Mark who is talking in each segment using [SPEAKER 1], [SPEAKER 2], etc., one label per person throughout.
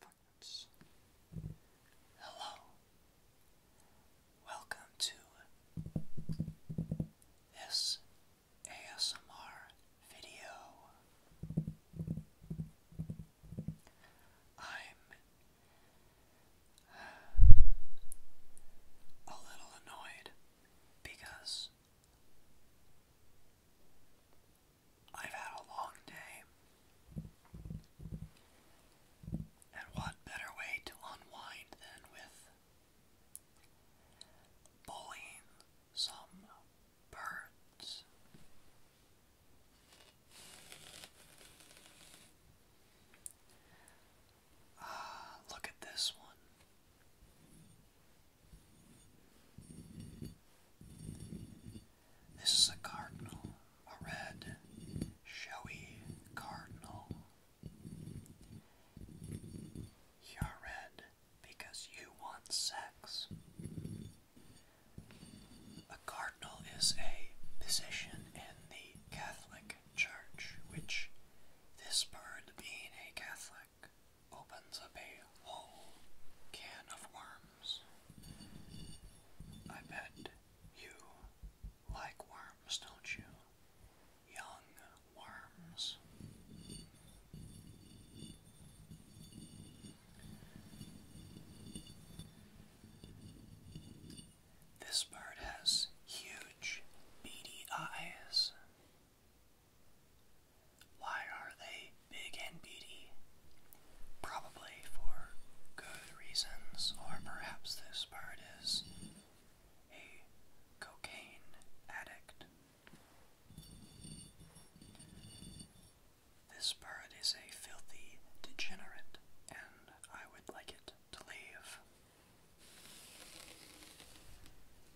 [SPEAKER 1] Footnotes. Hello. Welcome to this ASMR video. I'm uh, a little annoyed because I've had a long day. And what better way to unwind than with bullying some birds? Ah, look at this one. This is a cardinal, a red, showy cardinal. You're red because you want sex. A cardinal is a position in the Catholic Church, which this bird being a Catholic opens up a whole can of worms. I bet you like worms, don't you? Young worms. This bird has huge beady eyes why are they big and beady? Probably for good reasons, or perhaps this bird is a cocaine addict. This bird is a filthy degenerate, and I would like it to leave.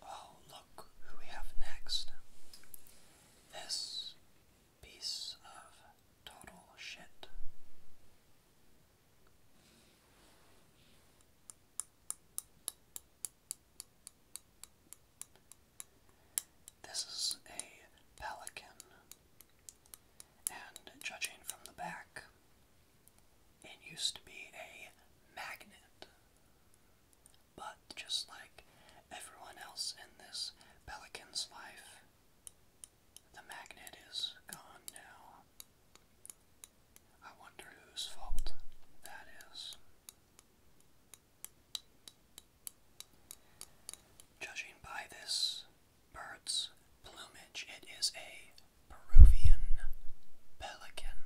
[SPEAKER 1] Oh, look who we have next. This piece of total shit. This is a pelican, and judging from the back, it used to be a magnet. But just like everyone else in this pelican's life, the magnet is gone now. I wonder whose fault that is. Judging by this bird's plumage, it is a Peruvian pelican.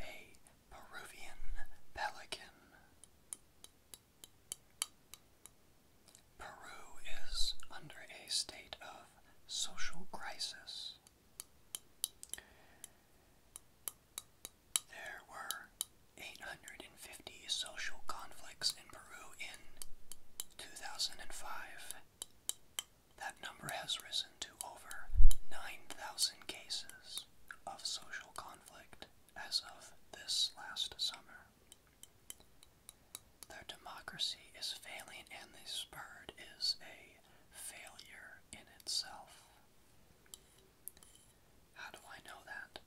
[SPEAKER 1] A Peruvian pelican. Peru is under a state of social crisis. There were 850 social conflicts in Peru in 2005. That number has risen to over 9,000 cases of social conflict as of this last summer. Their democracy is failing, and this bird is a failure in itself. How do I know that?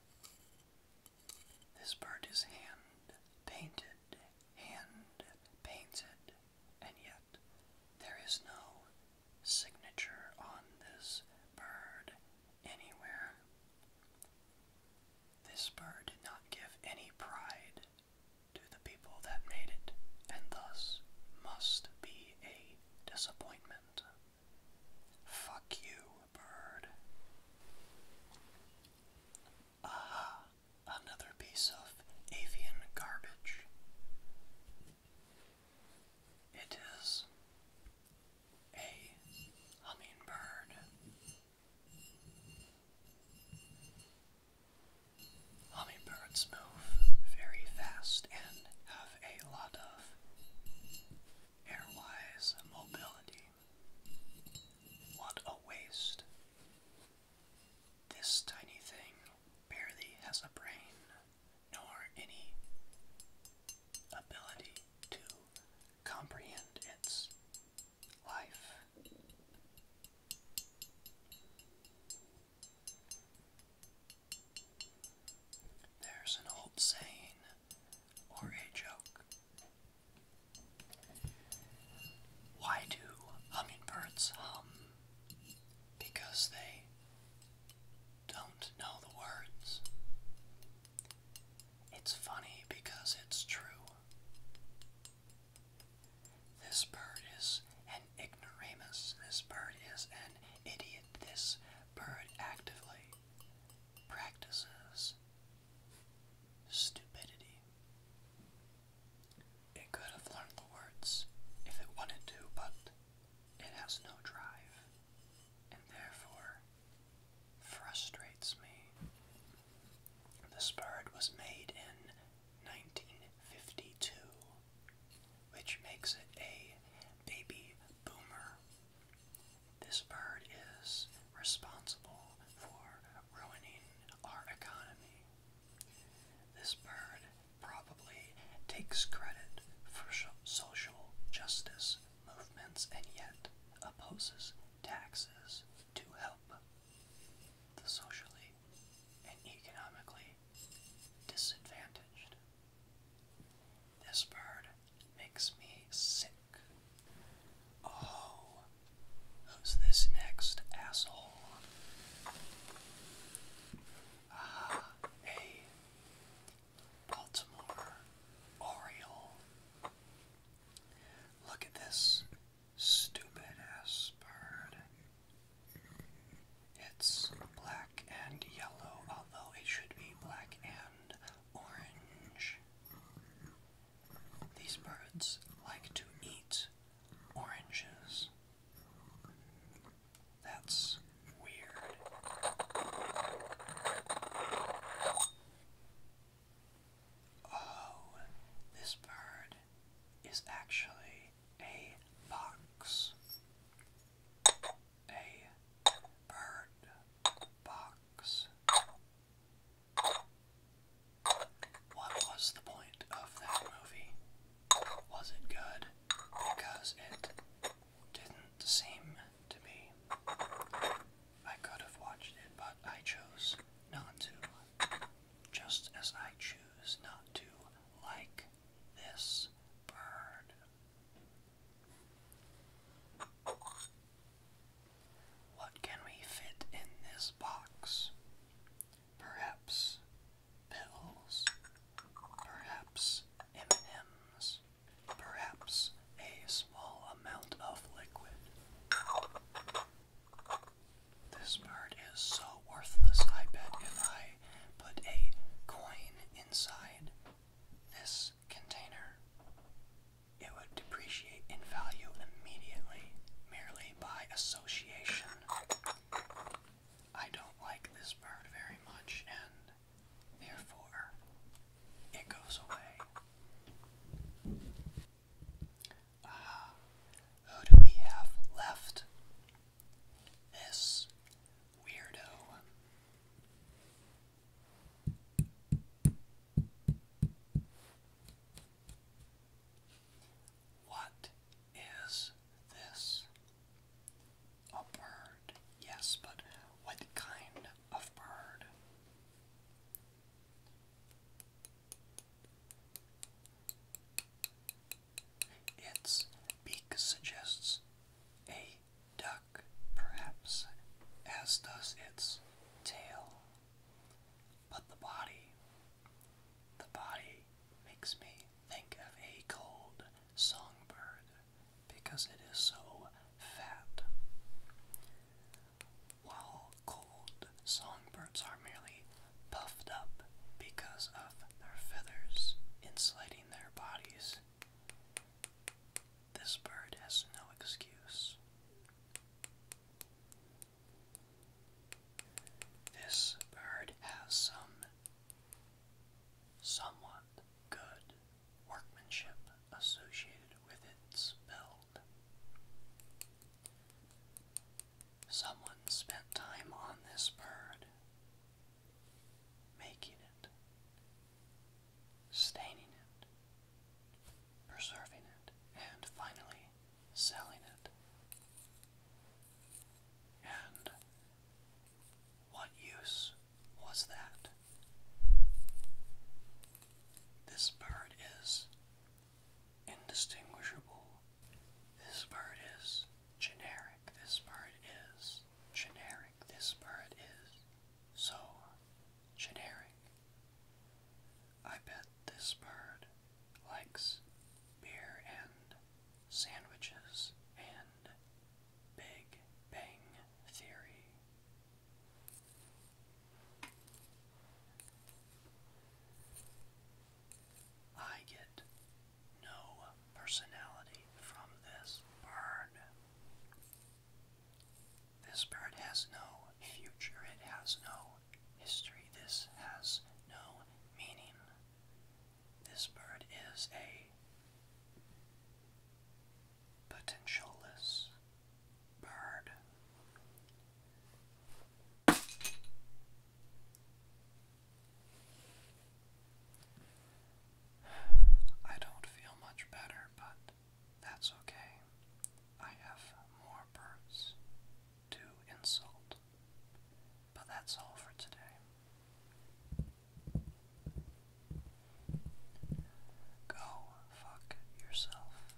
[SPEAKER 1] This bird is hand painted, hand painted, and yet there is no signature on this bird anywhere. This bird did not give any pride to the people that made it, and thus must be a disappointment. Fuck you, bird. Aha! Another piece of avian garbage. It is a hummingbird. Hummingbirds move very fast and have a lot of airwise mobility. What a waste this tiny thing barely has a brain, nor any ability to comprehend its life. There's an old saying or a joke why do hummingbirds hum? Because they don't know the words. It's funny because it's true. This bird is an ignoramus. This bird is an idiot. This bird actively practices Stupidity. It could have learned the words if it wanted to, but it has no drive, and therefore frustrates me. This bird was made in 1952, which makes it a baby boomer. This bird is responsible for ruining our economy. This bird probably takes credit for social justice movements and yet opposes taxes to help the socially and economically disadvantaged. This bird makes me sick Oh, who's this next asshole? Ah, a Baltimore Oriole. Look at this stupid ass bird. It's black and yellow, although it should be black and Orange. These birds like to eat oranges. That's weird. Oh, this bird is actually a fox. A bird box. What was the point of that movie? Was it good? Because it didn't seem to be. I could have watched it, but I chose not to. Just as I choose not to like this bird what can we fit in this box? Perhaps pills, perhaps M&Ms, perhaps a small amount of liquid. This bird is so worthless, I bet if I put a coin inside this container, it would depreciate in value immediately, merely by association. I don't like this bird very much, and therefore it goes away. Ah, who do we have left? This weirdo. What is this? A bird. Yes, but what kind of bird? Its beak suggests a duck, perhaps, as does its tail. But the body, the body makes me think of a cold songbird because it is so fat. While cold songbirds are merely puffed up because of their feathers insulating their bodies this bird has no excuse. This bird has some somewhat good workmanship associated with its build. Someone spent time on this bird making it, staining it, preserving it, and finally selling it. And what use was that? This bird is indistinguishable. This bird is generic this bird is, generic this bird is, so generic. I bet this bird likes beer and sandwiches and Big Bang Theory. I get no personality from this bird. This bird has no future, it has no history, this has no meaning. This bird is a potentialless bird. I don't feel much better, but that's okay. I have more birds to insult. But that's all for today. Go fuck yourself.